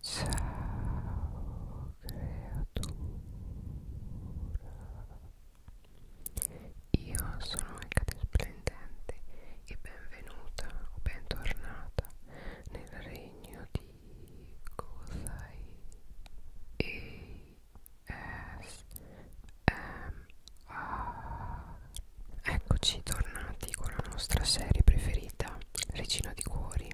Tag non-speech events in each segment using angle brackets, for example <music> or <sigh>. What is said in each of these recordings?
Ciao creatura Io sono Ecate Splendente e benvenuta o bentornata nel regno di Gozai E S M A Eccoci tornati con la nostra serie preferita vita regina di cuori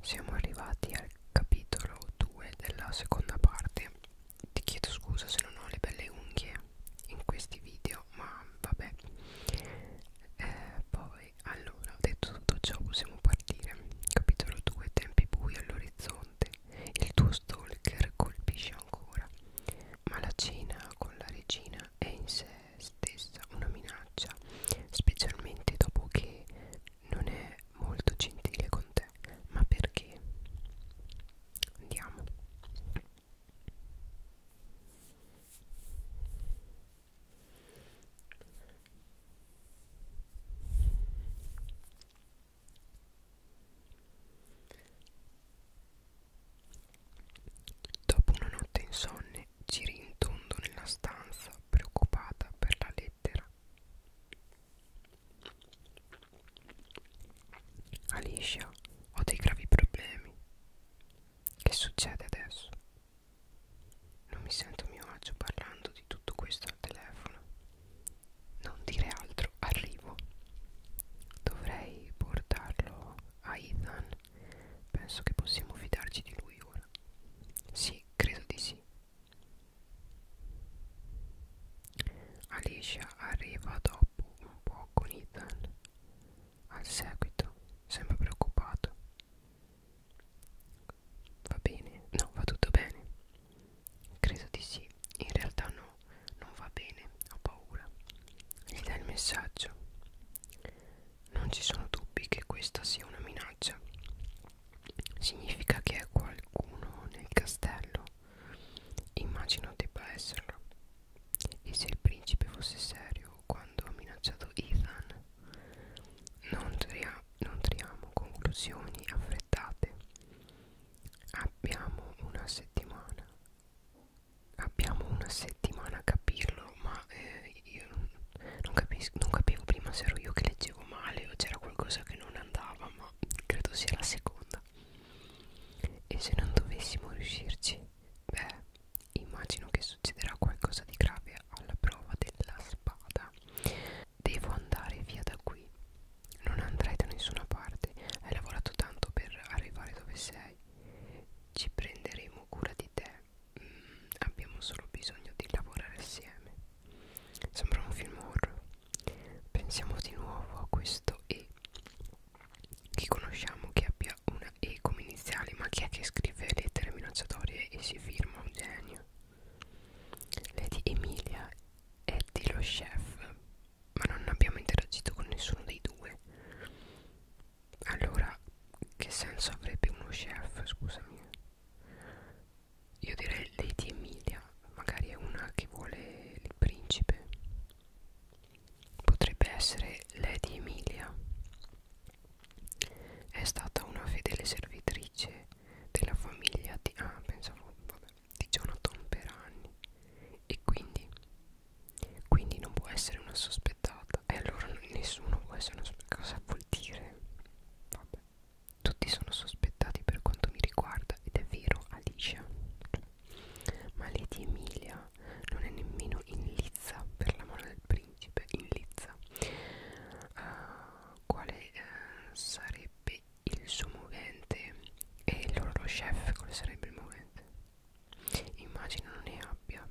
siamo arrivati al capitolo 2 della seconda parte ti chiedo scusa se non ho le belle unghie in questi video ma vabbè eh, poi allora ho detto tutto ciò possiamo partire capitolo 2 tempi bui all'orizzonte il tuo stalker colpisce ancora ma la cena con la regina è in sé stessa una minaccia, specialmente dopo che non è molto gentile con te. Ma perché? Andiamo. Dopo una notte insonne, giri in tondo nella stanza, preoccupata per la lettera. Alicia, ho dei gravi problemi. Che succede adesso? Non mi sento a mio agio parlando di tutto questo al telefono. Non dire altro, arrivo. Dovrei portarlo a Ethan Penso che possiamo fidarci di lui ora. Sì, credo di sì. Alicia arriva dopo un po' con Ethan. Al seguito, sembra preoccupato. Va bene? No, va tutto bene? Credo di sì. In realtà no, non va bene, ho paura. Gli dai il messaggio. Non ci sono dubbi che questa sia una minaccia. Significa che è qualcuno nel castello. Immagino debba esserlo. E se il principe fosse serio quando ha minacciato Ethan? Non, tria non triamo conclusioni affrettate. Abbiamo una settimana abbiamo una settimana a capirlo ma eh, io non, capisco, non capivo prima se ero io che leggevo male o c'era qualcosa che non andava ma credo sia la seconda e se non dovessimo riuscirci beh immagino che succederà qualcosa di grave alla prova della spada devo andare via da qui non andrai da nessuna parte hai lavorato tanto per arrivare dove sei ci prenderemo cura di te mh, abbiamo solo bisogno di lavorare assieme. Sembra un film horror. Pensiamo di nuovo a questo E. Chi conosciamo che abbia una E come iniziale, ma chi è che scrive lettere minacciatorie e si firma un genio? Lady Emilia è di lo chef, ma non abbiamo interagito con nessuno dei due allora che senso avrebbe uno chef scusami io direi Lady Emilia magari è una che vuole il principe potrebbe essere Lady Emilia è stata una fedele servitrice della famiglia di, ah, pensavo, vabbè, di Jonathan per anni e quindi, quindi non può essere una sospettata Esatto. E allora nessuno può essere cosa vuol dire? Vabbè. Tutti sono sospettati per quanto mi riguarda ed è vero Alicia. Ma Lady Emilia non è nemmeno in lizza per l'amore del principe, in lizza. Uh, quale uh, sarebbe il suo movente? E il loro chef quale sarebbe il movente? Immagino non ne abbia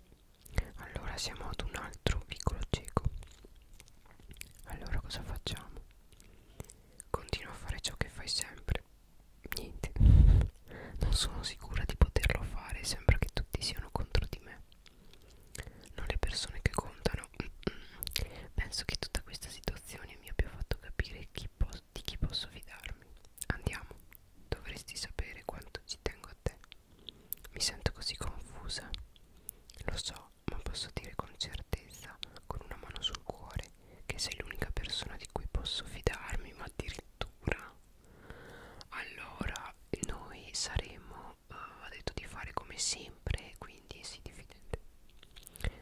allora siamo ad un altro piccolo cieco allora cosa facciamo continua a fare ciò che fai sempre niente <laughs> non sono sicura di poterlo fare sembra che tutti siano contro di me non le persone che contano penso che tutta questa situazione mi abbia fatto capire chi di chi posso fidarmi andiamo Dovresti sapere quanto ci tengo a te. Mi sento così confusa. Lo so, ma posso dire con certezza, con una mano sul cuore, che sei l'unica persona di cui posso fidarmi, ma addirittura. Allora, noi saremo, uh, ha detto di fare come sempre, quindi sì, diffidente.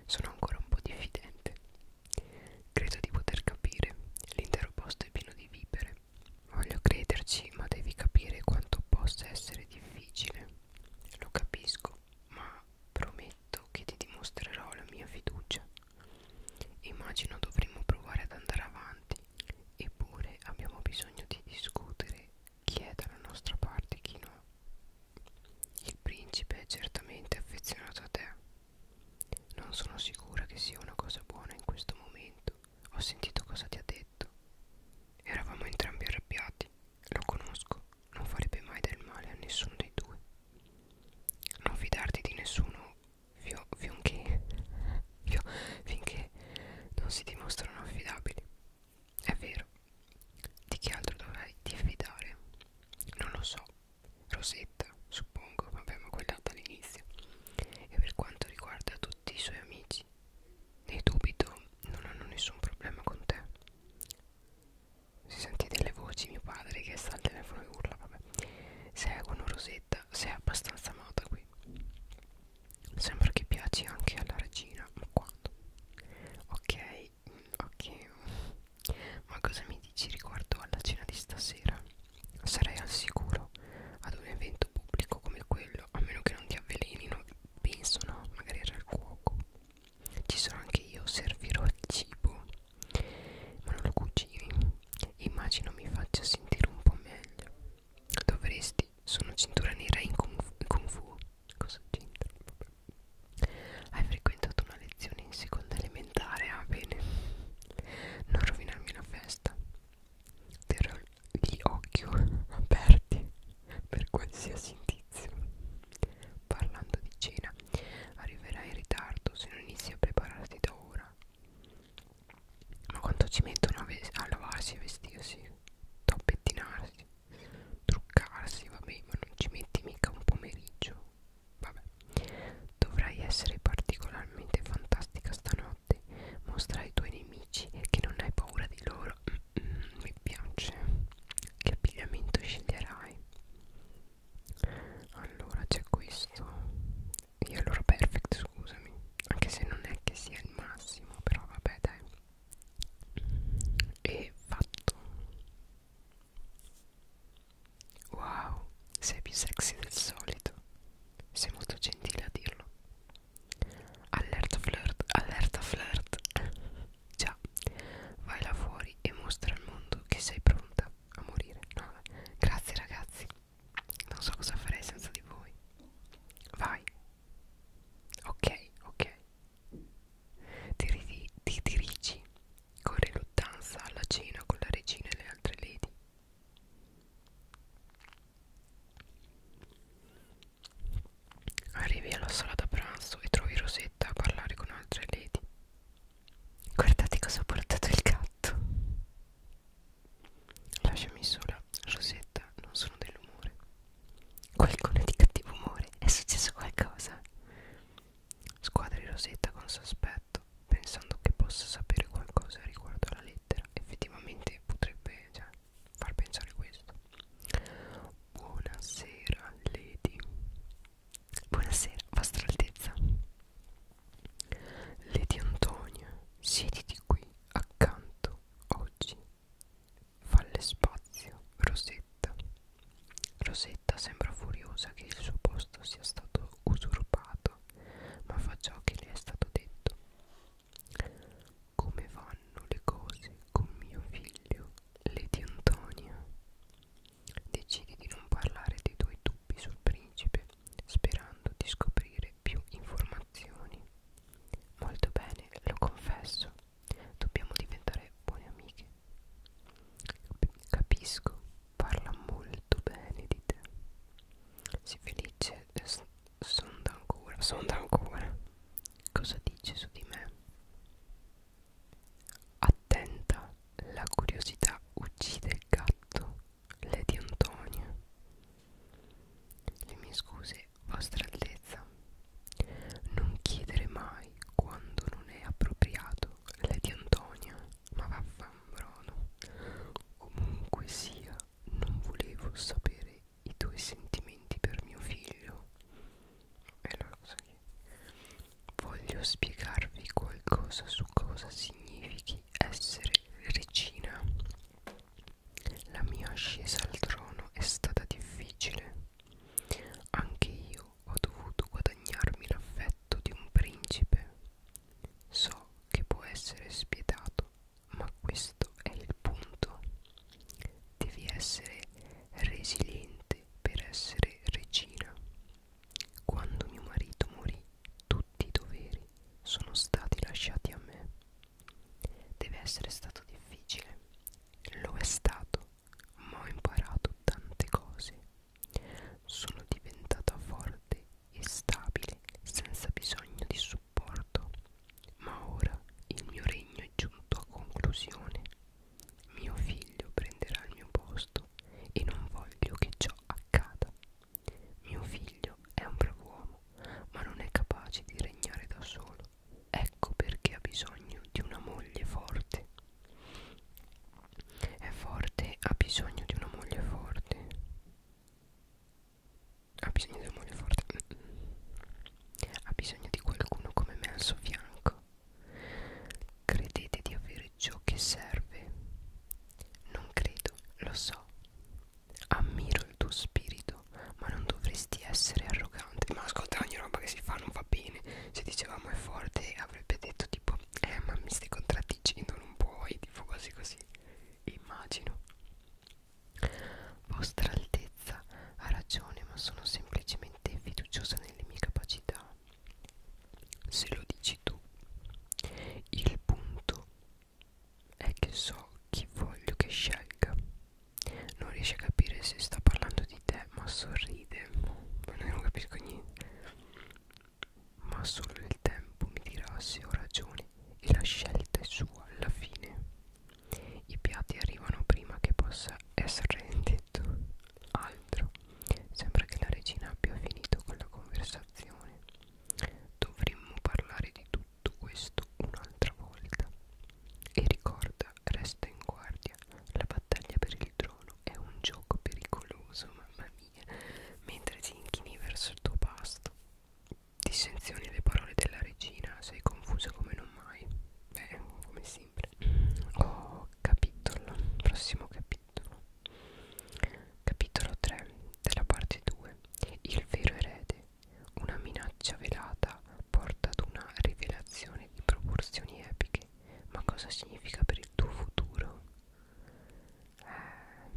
Sono ancora un po' diffidente. Credo di poter capire. L'intero posto è pieno di vipere me. Voglio crederci, ma devi capire quanto possa essere difficile. Lo capisco, ma prometto che ti dimostrerò la mia fiducia. Immagino dovremmo provare ad andare avanti, eppure abbiamo bisogno di discutere chi è dalla nostra parte e chi no. Il principe è certamente affezionato a te. Non sono sicura che sia una cosa buona in questo momento, ho sentito cosa ti ha detto. Eravamo entrambi arrabbiati. Lo conosco. Non farebbe mai del male a nessuno dei due. Non fidarti di nessuno fio, fionché, fio, finché non si dimostrano affidabili. È vero. Di chi altro dovrei diffidare? Non lo so. Rosetta, suppongo, vabbè, ma quella dall'inizio. E per quanto riguarda tutti i suoi amici, ne dubito, non hanno nessun problema con te. Si sentì delle voci, mio padre che sta al telefono e urla, vabbè. Seguono Rosetta, sei abbastanza amata qui. Sembra che piaci anche alla regina, ma quando? Ok, ok. Ma cosa mi dici riguardo alla cena di stasera? Sarei al sicuro ad un evento pubblico come quello, a meno che non ti avvelenino, penso no, magari era il cuoco. Ci sono anche io, servirò il cibo, ma non lo cucini. Immagino mi faccia sentire un po' meglio. Dovresti, sono cintura nera in Kung Fu. In kung fu. Cosa c'entra? Hai frequentato una lezione in seconda elementare, ah bene. Non rovinarmi la festa terrò gli occhi <laughs> aperti per qualsiasi indizio. Parlando di cena, arriverai in ritardo se non inizi a prepararti da ora. Ma quanto ci mettono a, a lavarsi e vestirsi, a pettinarsi, truccarsi, vabbè, ma non ci metti mica un pomeriggio. Vabbè, dovrai essere particolarmente fantastica stanotte notte mostra ai tuoi nemici che non hai paura di loro mm -mm, mi piace che abbigliamento sceglierai allora c'è questo e allora perfect scusami anche se non è che sia il massimo però vabbè dai e fatto wow sei più sexy del solito sei molto gentile a dirlo Allerta flirt, allerta flirt. Già, vai là fuori e mostra al mondo che sei pronta a morire. No, grazie ragazzi. Non so cosa farei senza di voi. Vai. Ok, ok. Ti, ti dirigi con riluttanza alla cena con la regina e le altre lady. Arrivi alla sala da pranzo e trovi Rosetta a parlare con altre lady. Guardate cosa ha portato il gatto. Lasciami sola, Rosetta, non sono dell'umore. Qualcuno è di cattivo umore, è successo qualcosa? Squadri Rosetta con sospetto, pensando che possa sapere qualcosa riguardo alla lettera. Effettivamente potrebbe, cioè, far pensare questo buonasera Lady buonasera vostra altezza Lady Antonia siediti qui accanto oggi falle spazio Rosetta Rosetta sembra furiosa che il suo posto sia stato usurpato ma fa ciò che le è stato detto come vanno le cose con mio figlio, Lady Antonia? Decidi di non parlare dei tuoi dubbi sul principe, sperando di scoprire più informazioni. Molto bene, lo confesso. Dobbiamo diventare buone amiche. Capisco, parla molto bene di te. Sii felice eh, sonda ancora, sonda ancora. Cosa dice su di me? Attenta, la curiosità uccide il gatto, Lady Antonia. Le mie scuse, vostra altezza. Non chiedere mai quando non è appropriato, Lady Antonia, ma vaffanbrono. Comunque sia, non volevo sapere i tuoi sentimenti per mio figlio. È la cosa che voglio spiegarvi qualcosa su cosa significhi essere regina. La mia ascesa al trono è stata difficile. Anche io ho dovuto guadagnarmi l'affetto di un principe. So che può essere spietato ma questo è il punto. Devi essere resiliente per essere regina. Quando mio marito morì, tutti i doveri sono stati lasciati a me. Deve essere stato difficile. Lo è stato, ma ho imparato tante cose. Sono diventata forte e stabile senza bisogno di supporto ma ora il mio regno è giunto a conclusione. Mio figlio prenderà il mio posto e non voglio che ciò accada. Mio figlio è un brav'uomo, ma non è capace di regnare da solo. Ecco perché ha bisogno di una moglie forte. È forte, ha bisogno di una moglie forte ha bisogno di amore forte ha bisogno di qualcuno come me al suo fianco credete di avere ciò che serve non credo lo so ammiro il tuo spirito ma non dovresti essere arrogante ma ascolta ogni roba che si fa non va bene se dicevamo è forte avrebbe detto tipo eh ma mi stai contraddicendo non puoi tipo così così immagino vostra Altezza ha ragione, ma sono semplicemente fiduciosa nelle mie capacità. Se lo dici tu, il punto è che so chi voglio che scelga. Non riesce a capire se sta parlando di te, ma sorride. Ma non capisco niente. Ma solo il tempo mi dirà se ho ragione e la scelta è sua alla fine i piatti arrivano prima che possa essere detto altro sembra che la regina abbia finito con la conversazione dovremmo parlare di tutto questo un'altra volta e ricorda resta in guardia la battaglia per il trono è un gioco pericoloso mamma mia mentre ti inchini verso il tuo pasto dissenzioni alle parole della regina sei confusa come non mai beh come sempre oh capitolo prossimo capitolo capitolo 3 della parte 2 il vero erede una minaccia velata porta ad una rivelazione di proporzioni epiche ma cosa significa per il tuo futuro eh,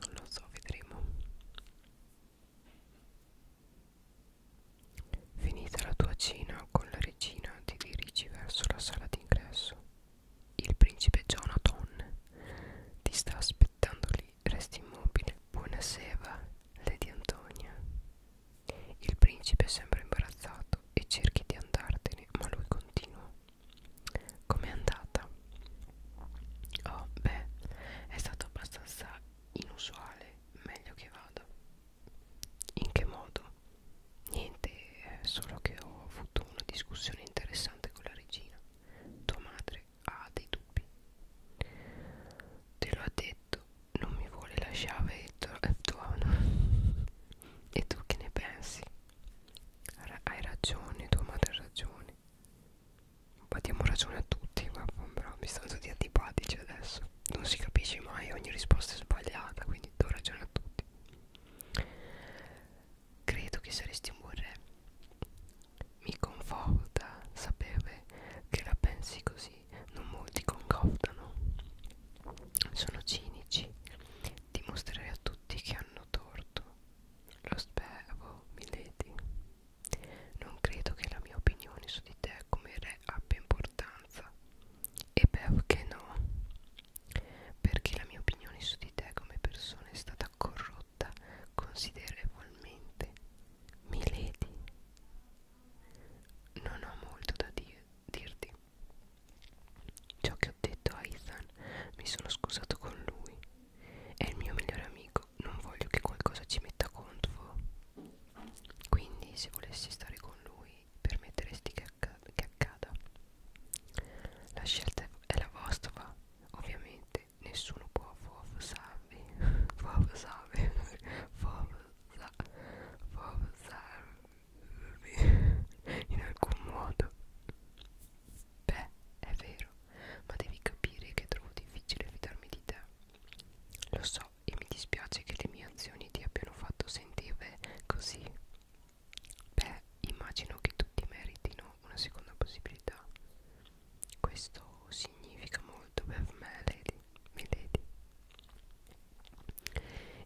non lo so vedremo Finita la tua cena con la regina ti dirigi verso la sala d'ingresso. Il principe Jonathan ti sta aspettando lì, resti immobile. Buonasera, Lady Antonia. Il principe sembra imbarazzato e cerchi di andartene, ma lui continua. Com'è andata? Oh, beh, è stato abbastanza inusuale meglio che vada in che modo? niente eh, solo che ho avuto una discussione interessante con la regina tua madre ha dei dubbi te lo ha detto non mi vuole lasciare e eh, ah, e tu che ne pensi? hai ragione tua madre ha ragione ma diamo ragione a tutti, ma mi stanno tutti antipatici adesso. Non si capisce mai, ogni risposta è sbagliata, quindi do ragione a tutti. Credo che saresti un buon re. Mi conforta sapere che la pensi così, non molti concordano. Sono cinici, dimostrerei a tutti che hanno torto. Lo spero, Milady. Non credo che la mia opinione su di te come re abbia importanza. E perché no? Perché la mia opinione su di te come persona è stata corrotta considerevolmente. Milady, non ho molto da dir dirti. Ciò che ho detto a Ethan mi sono scusato con lui. È il mio migliore amico ecco non voglio che qualcosa ci metta contro quindi se volessi stare con lui permetteresti che, acc che accada la scelta è la vostra ovviamente nessuno può forzarvi <laughs> forzarvi <laughs> forzarvi <laughs> in alcun modo beh è vero ma devi capire che trovo difficile fidarmi di te lo so e mi dispiace che le mie azioni ti abbiano fatto sentire così. Beh, immagino che tutti meritino una seconda possibilità. Questo significa molto per me, Lady. Milady.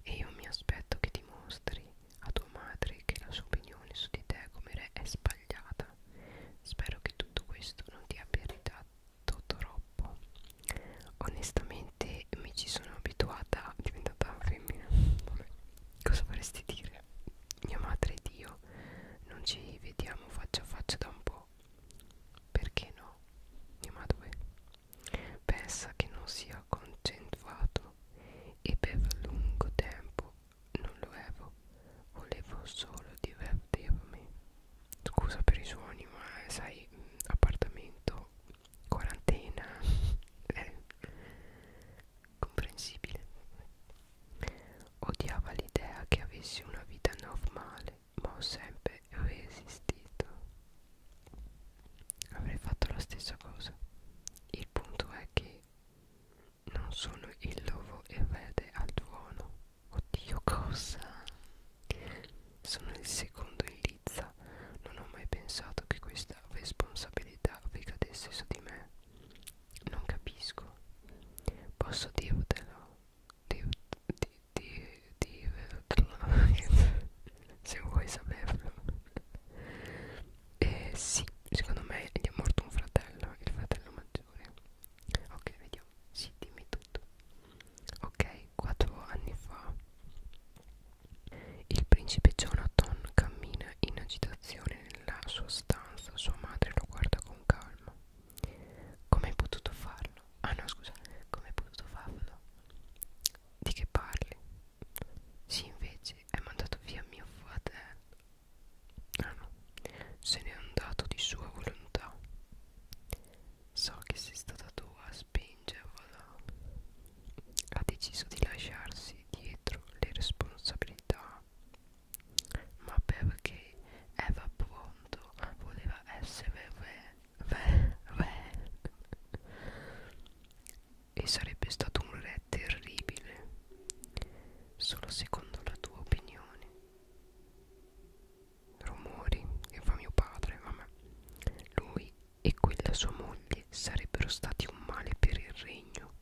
E io mi aspetto che dimostri a tua madre che la sua opinione su di te come re è sbagliata. Spero che tutto questo non ti abbia ritratto troppo onestamente mi ci sono abituata diventata femmina Vabbè. cosa vorresti dire mia madre e dio non ci vediamo faccia a faccia da un po perché no mia madre pensa che non sia concentrato e per lungo tempo non lo ero volevo solo divertirmi Scusa per i suoni, ma sai, mm, appartamento, quarantena, è <laughs> eh, comprensibile. Odiava l'idea che avessi una vita normale, ma ho sempre resistito. Avrei fatto la stessa cosa. Il punto è che non sono il lovo erede al tuono Oddio cosa? Sono il secondo in lizza. Non ho mai pensato che questa responsabilità ricadesse su di me. Non capisco. Posso dirtelo? Dir, di, di, dirtelo. <laughs> Se vuoi saperlo. Eh sì, secondo me gli è morto un fratello, il fratello maggiore ok vediamo sì dimmi tutto ok quattro anni fa il principe Jonathan cammina in agitazione nella sua stanza sua madre lo guarda con calma come hai potuto farlo? ah no scusa come hai potuto farlo? di che parli? sì invece hai mandato via mio fratello ah no se n'è andato di sua volontà So che sei stata tu a spingervela. Ha deciso di lasciarsi dietro le responsabilità. Ma perché Eva pronto voleva essere ve, ve, ve. E sarebbe stato un re terribile. Solo secondo la tua opinione rumori che fa mio padre, vabbè. Lui e quella sua moglie sarebbero stati un male per il regno.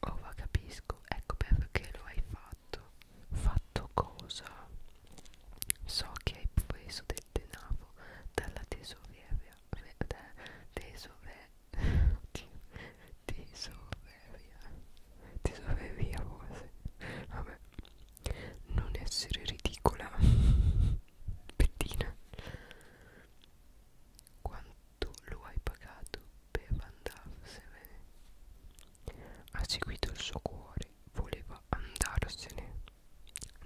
Oh, va, capisco. Ecco perché lo hai fatto. Fatto cosa? So che hai preso del denaro dalla tesoreria. Da, tesore, tesoreria. Tesoreria forse. Vabbè. <laughs> Non essere ridicola, <laughs> Bettina. Quanto lo hai pagato per andarsene? Ha seguito il suo cuore, voleva andarsene.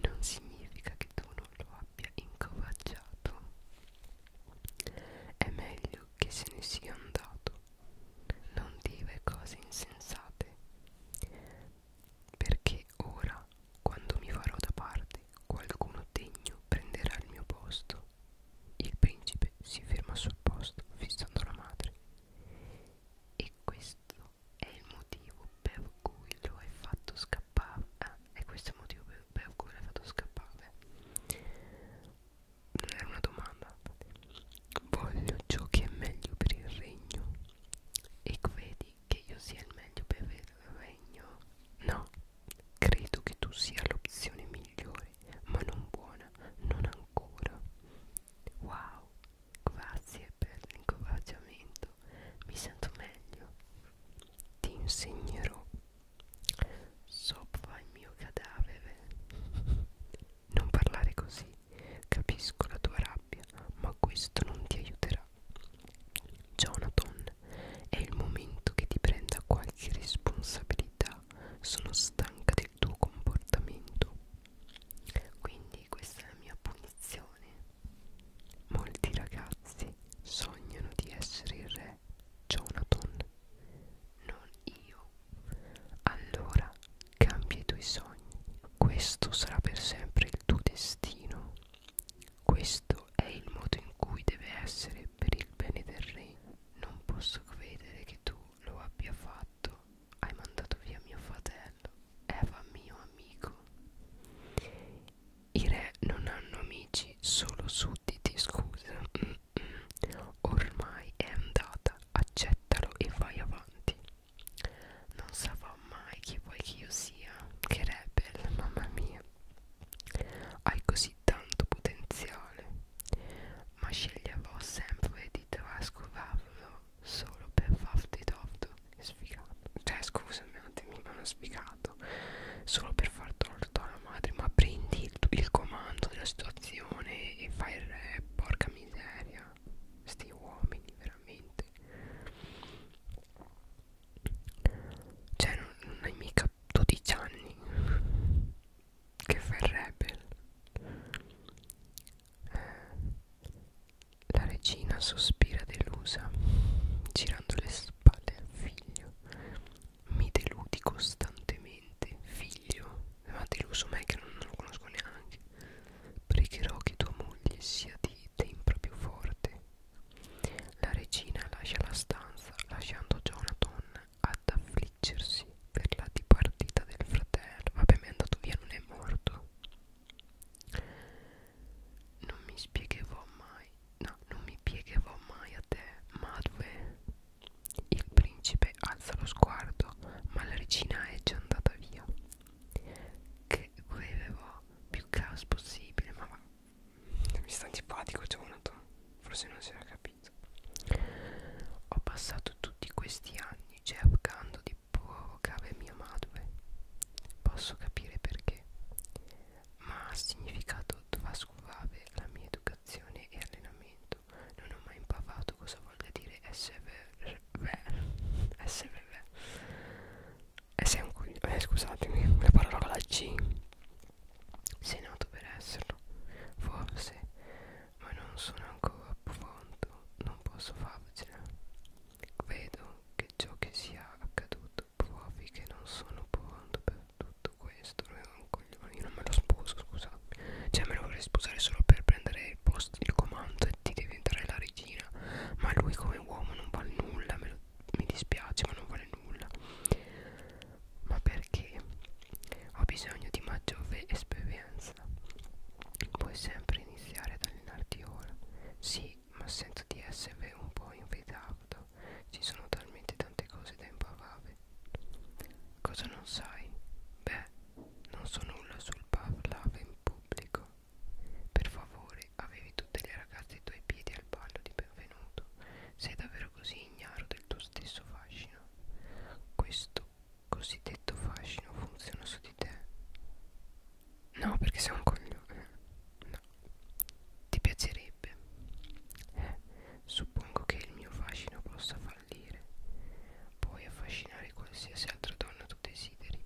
Non significa che tu non lo abbia incoraggiato. È meglio che se ne sia andato non dire cose insensate perché ora quando mi farò da parte qualcuno degno prenderà il mio posto il principe si ferma sul posto fissando la madre e questo è il motivo per cui lo hai fatto scappare ah, e questo è il motivo per, per cui l'hai fatto scappare non era una domanda Voglio ciò che è meglio per il regno. E credi che io sia il meglio per il regno? No, credo che tu sia l'opzione migliore, ma non buona, non ancora. Wow, grazie per l'incoraggiamento, mi sento meglio. Ti insegnerò sopra il mio cadavere. <laughs> Non parlare così, Capisco la tua rabbia, ma questo non ti aiuterà. Jonathan, è il momento che ti prenda qualche responsabilità. Sono stanca del tuo comportamento. Quindi questa è la mia punizione. Molti ragazzi sognano di essere il re Jonathan, non io allora cambia i tuoi sogni questo sarà per sempre il tuo destino questo è il modo in cui deve essere per il bene del re non posso credere che tu lo abbia fatto hai mandato via mio fratello Eva mio amico i re non hanno amici solo sudditi scusa mm -mm. ormai è andata accettalo e vai avanti non saprò mai chi vuoi che io sia, che rebel, mamma mia. Hai così tanto potenziale, ma sceglierò sempre di trascurarlo solo per farti torto. Sfigato. Cioè, scusami un attimo, non ho spiegato. Solo per far torto alla madre, ma prendi il, il comando della situazione e fai il re, porca miseria sti uomini veramente cioè non, non hai mica 12 anni che fai rebel eh, la regina sospira delusa girando le spalle al figlio mi deludi costantemente figlio ma deluso me che non, non lo conosco neanche pregherò che tua moglie sia di tempra più forte la regina lascia la stanza lasciando Jonathan ad affliggersi per la dipartita del fratello vabbè mi è andato via non è morto non mi spiegherò mai no non mi piegherò mai a te Madwe il principe alza lo sguardo ma la regina è già andata via che volevo più caos possibile ma va mi sta antipatico Jonathan forse non si era capito ho passato tutti questi anni cercando di provocare mia madre posso capire perché ma ha significato trascurare la mia educazione e allenamento non ho mai imparato cosa voglia dire SVV SVV SMQ eh, scusatemi la parola con la G sei nato per esserlo forse ma non sono ancora pronto non posso farcela vedo che ciò che sia accaduto provi che non sono pronto per tutto questo non ero un coglione io non me lo sposo scusate cioè me lo vorrei sposare solo per prendere il posto il comando di diventare la regina ma lui come uomo non vale nulla me lo, mi dispiace ma non vale nulla ma perché ho bisogno di maggiore esperienza puoi sempre iniziare ad allenarti ora sì ma sento di essere un po' in ritardo ci sono talmente tante cose da imparare cosa non sai? beh non so nulla sul parlare in pubblico per favore, avevi tutte le ragazze ai tuoi piedi al ballo di benvenuto. Sei davvero così ignaro del tuo stesso fascino. Questo cosiddetto fascino funziona su di te. No, perché sei un coglione. No. Ti piacerebbe. Eh, suppongo che il mio fascino possa fallire. Puoi affascinare qualsiasi altra donna tu desideri.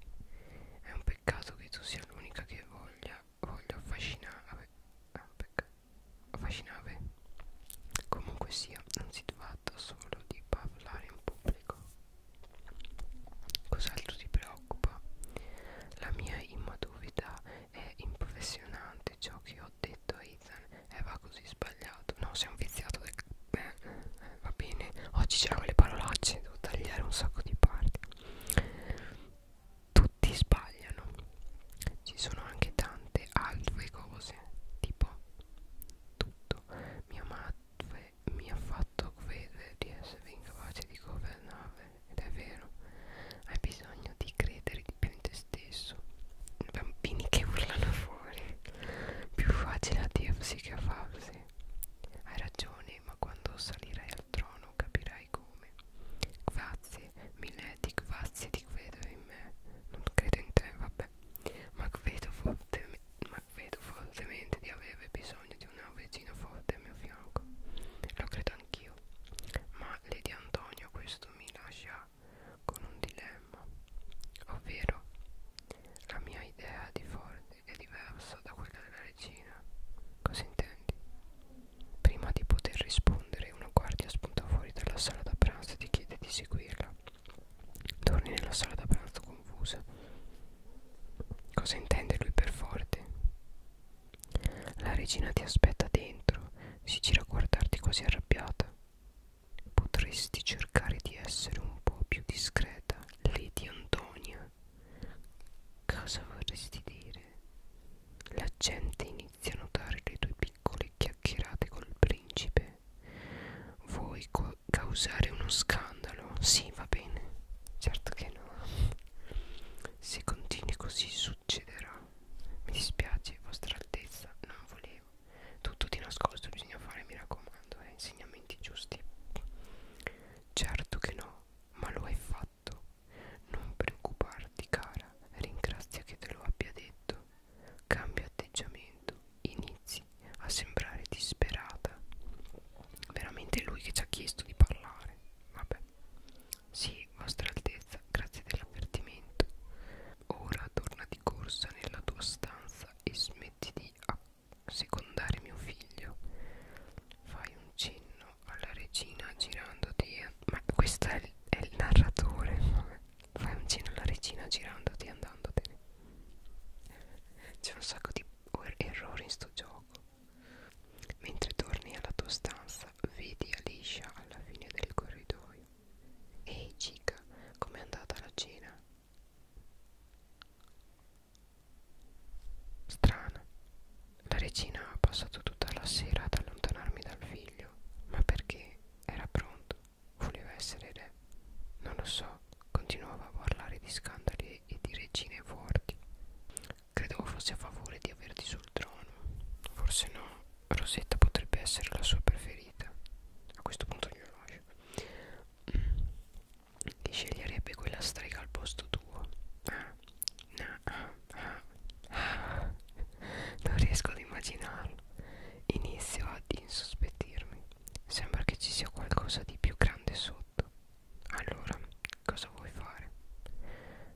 È un peccato che tu sia l'unica che voglia, voglia affascinare. Ah, affascinare. Comunque sia, non si tratta solo di parlare in pubblico. Cos'altro ti preoccupa? La mia immaturità è impressionante. Ciò che ho detto a Ethan era così sbagliato. No, sei un viziato del. Eh, eh, va bene oggi c'erano le parolacce devo tagliare un sacco di parti tutti sbagliano ci sono anche tante altre cose tipo tutto mia madre mi ha fatto credere di essere incapace di governare ed è vero hai bisogno di credere di più in te stesso bambini che urlano fuori più facile a dirsi che a farsi disse Hai ragione, ma quando salirai al trono capirai come Grazie, milady, grazie di credo in me Non credo in te, vabbè Ma credo fortemente ma credo fortemente di avere bisogno di una regina forte al mio fianco. Lo credo anch'io. Ma Lady Antonio questo mi lascia con un dilemma. Ovvero, la mia idea di, for ed è diversa da quella della regina. Cosa intendi? Prima di poter rispondere, una guardia spunta fuori dalla sala da pranzo e ti chiede di seguirla. Torni nella sala da pranzo confusa. Cosa intende lui per forte? La regina ti aspetta dentro, si gira a guardarti così arrabbiata. Potresti cercare di essere un po' più discreta, Lady Antonia, cosa vorresti dire? La gente inizia a notare le tue piccole chiacchierate col principe. Vuoi causare uno scandalo? Sì, va bene. Certo che no. Se continui così succederà. Mi dispiace, vostra altezza, non volevo. Tutto di nascosto, bisogna fare, mi raccomando, eh, insegnamenti giusti. Certo che no, ma lo hai fatto. Non preoccuparti, cara, ringrazia che te lo abbia detto. Cambia atteggiamento, inizi a sembrare disperata. Veramente è lui che ci ha chiesto di parlare. Vabbè. Sì, vostra altezza, grazie dell'avvertimento. Ora torna di corsa nella tua stanza e smetti di accordarti secondare mio figlio fai un cenno alla regina girandoti ma questo è il, è il narratore fai un cenno alla regina girandoti andandotene c'è un sacco di errori in sto gioco mentre torni alla tua stanza vedi Alicia alla fine del corridoio ehi chica com'è andata la cena Strano. La regina ha passato tutta la sera ad allontanarmi dal figlio, ma perché era pronto, voleva essere re. Non lo so, continuava a parlare di scandali e di regine forti. Credevo fosse a favore di averti sul trono. Forse no, Rosetta potrebbe essere la sua preferita. A questo punto glielo lascio. Chi sceglierebbe quella strega al posto tuo? Ah, ah, ah, ah, ah. Non riesco ad immaginarlo. Inizio ad insospettirmi. Sembra che ci sia qualcosa di più grande sotto. Allora, cosa vuoi fare?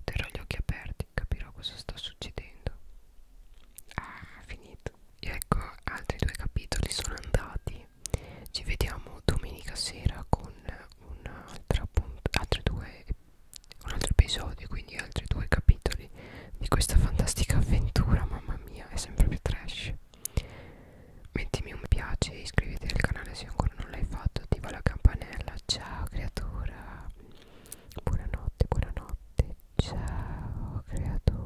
Terrò gli occhi aperti, capirò cosa sta succedendo. Ah, finito. Ecco, altri due capitoli sono andati ci vediamo domenica sera con un'altra altre due un altro episodio quindi altri due capitoli di questa fantastica avventura mamma mia è sempre più trash mettimi un mi piace iscriviti al canale se ancora non l'hai fatto attiva la campanella ciao creatura buonanotte buonanotte ciao creatura